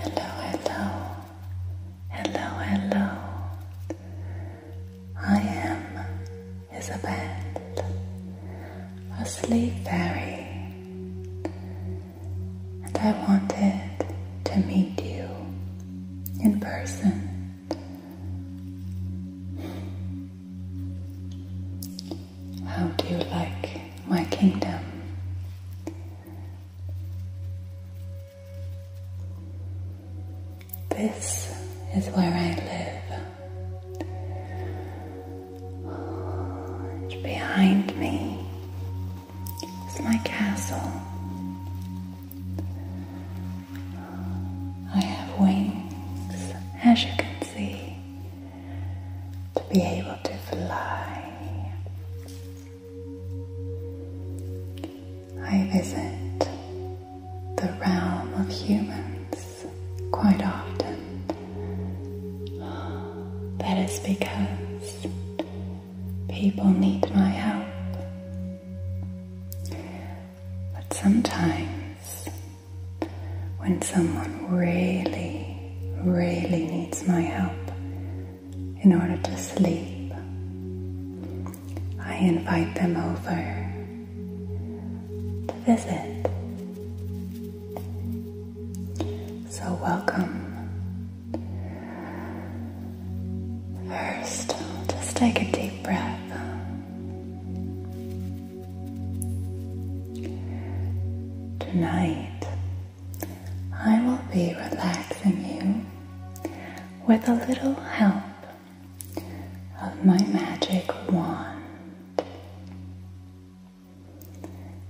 Hello, hello, hello, hello. I am Isabel, a sleep fairy, and I wanted to meet you in person. How do you like my kingdom? This is where I live. behind me is my castle. I have wings, as you can see, to be able to fly. I visit the realm of humans quite often. That is because people need my help. But sometimes when someone really, really needs my help in order to sleep, I invite them over to visit. So, welcome. First, just take a deep breath. Tonight, I will be relaxing you with a little help of my magic wand.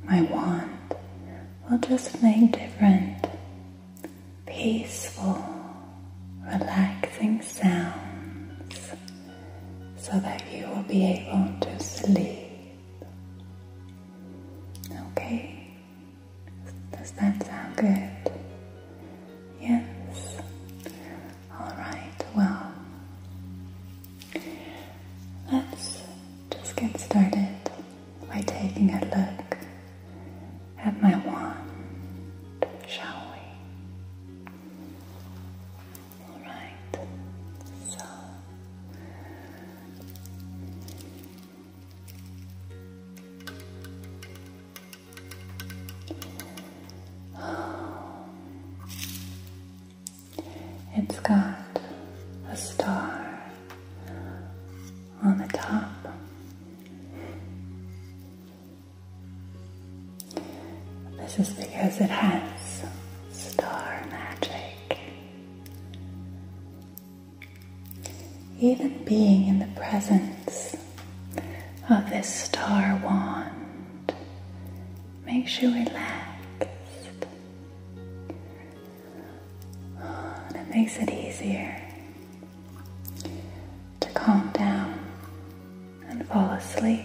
My wand will just make different, peaceful, relaxing sounds so that you will be able to sleep. Okay? Does that sound good? Yes? Alright, well, let's just get started by taking a look at my wand, shall we? All right. So oh. it's got a star on the top. This is because it has star magic. Even being in the presence of this star wand makes you relaxed. and it makes it easier to calm down and fall asleep.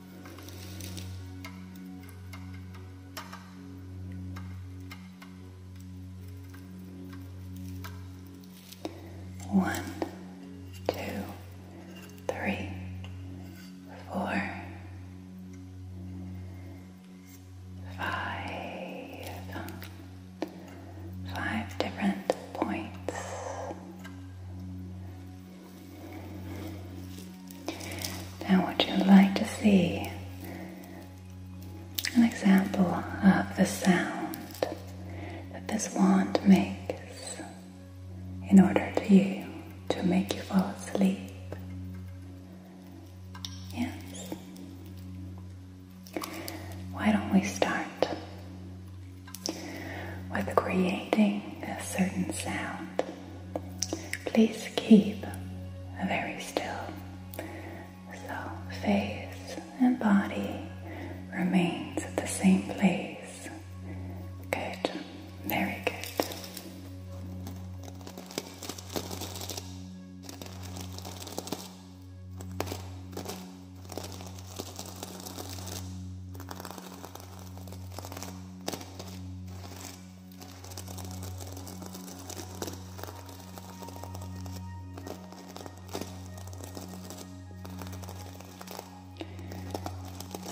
One, two, three, four, five, five different points. Now, would you like to see an example of the sound that this wand makes in order to you to make you fall asleep? Yes. Why don't we start? with creating a certain sound, please keep very still so face and body remains at the same place. Good, very good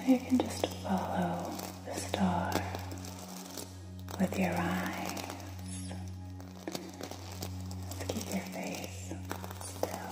you can just follow the star with your eyes. keep your face still.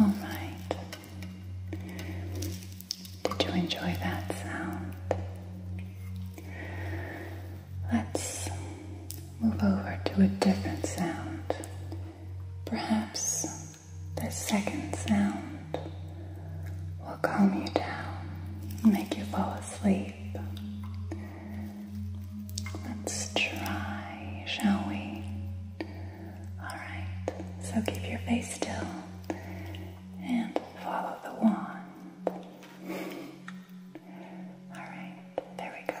All right. Did you enjoy that sound? Let's move over to a different sound. Perhaps the second sound will calm you down, make you fall asleep. Let's try, shall we? Alright, so keep your face still and follow the wand. Alright, there we go.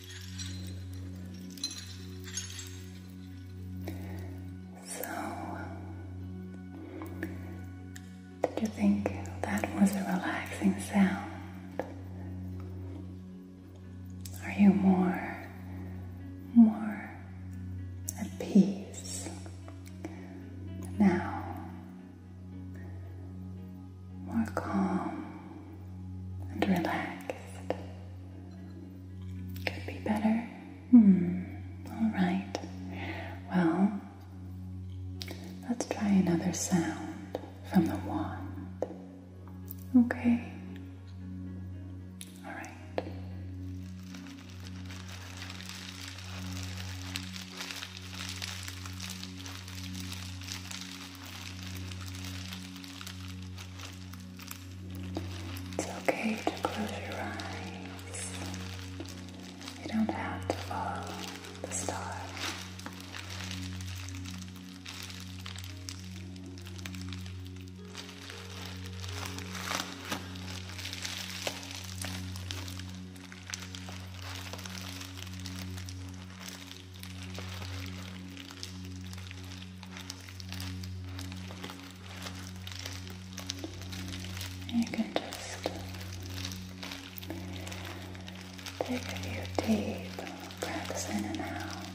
So, did you think that was a relaxing sound? Are you more, more at peace now? More calm and relaxed. Could be better. Hmm, alright. Well, let's try another sound from the wand. Okay. All right. It's okay to close your eyes. You don't have to follow the star. You can just take a few deep breaths in and out.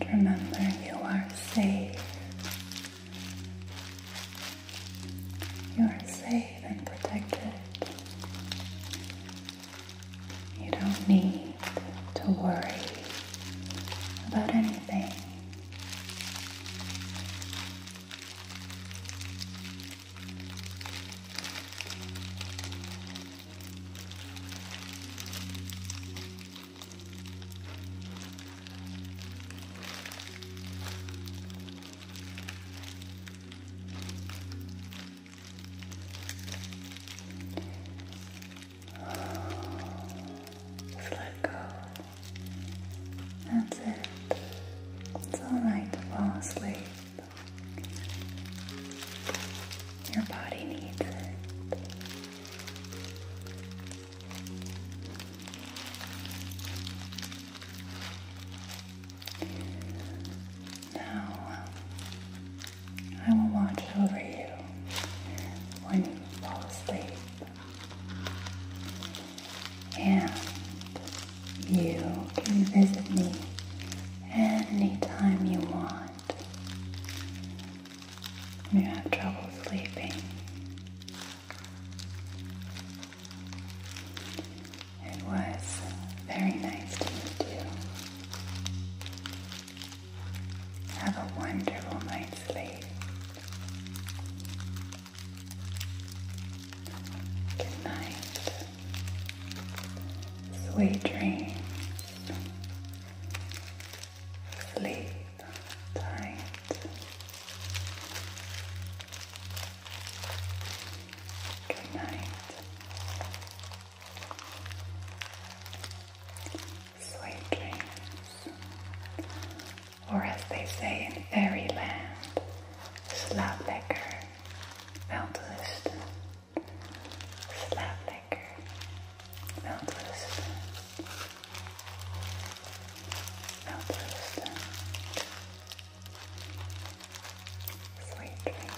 And remember, you are safe you are safe and protected. You don't need to worry about anything. Just let go. That's it. It's alright to fall asleep. Your body needs it. Now, I will watch over you when you fall asleep, and you can visit me anytime you want. When you have trouble sleeping, it was very nice to meet you. Have a wonderful night's sleep. Good night. Sweet dreams. Sleep tight. Good Sweet dreams. Or as they say in fairyland, Slaplecker, Veldlisten, Slaplecker, Veldlisten. Now Sweet dreams.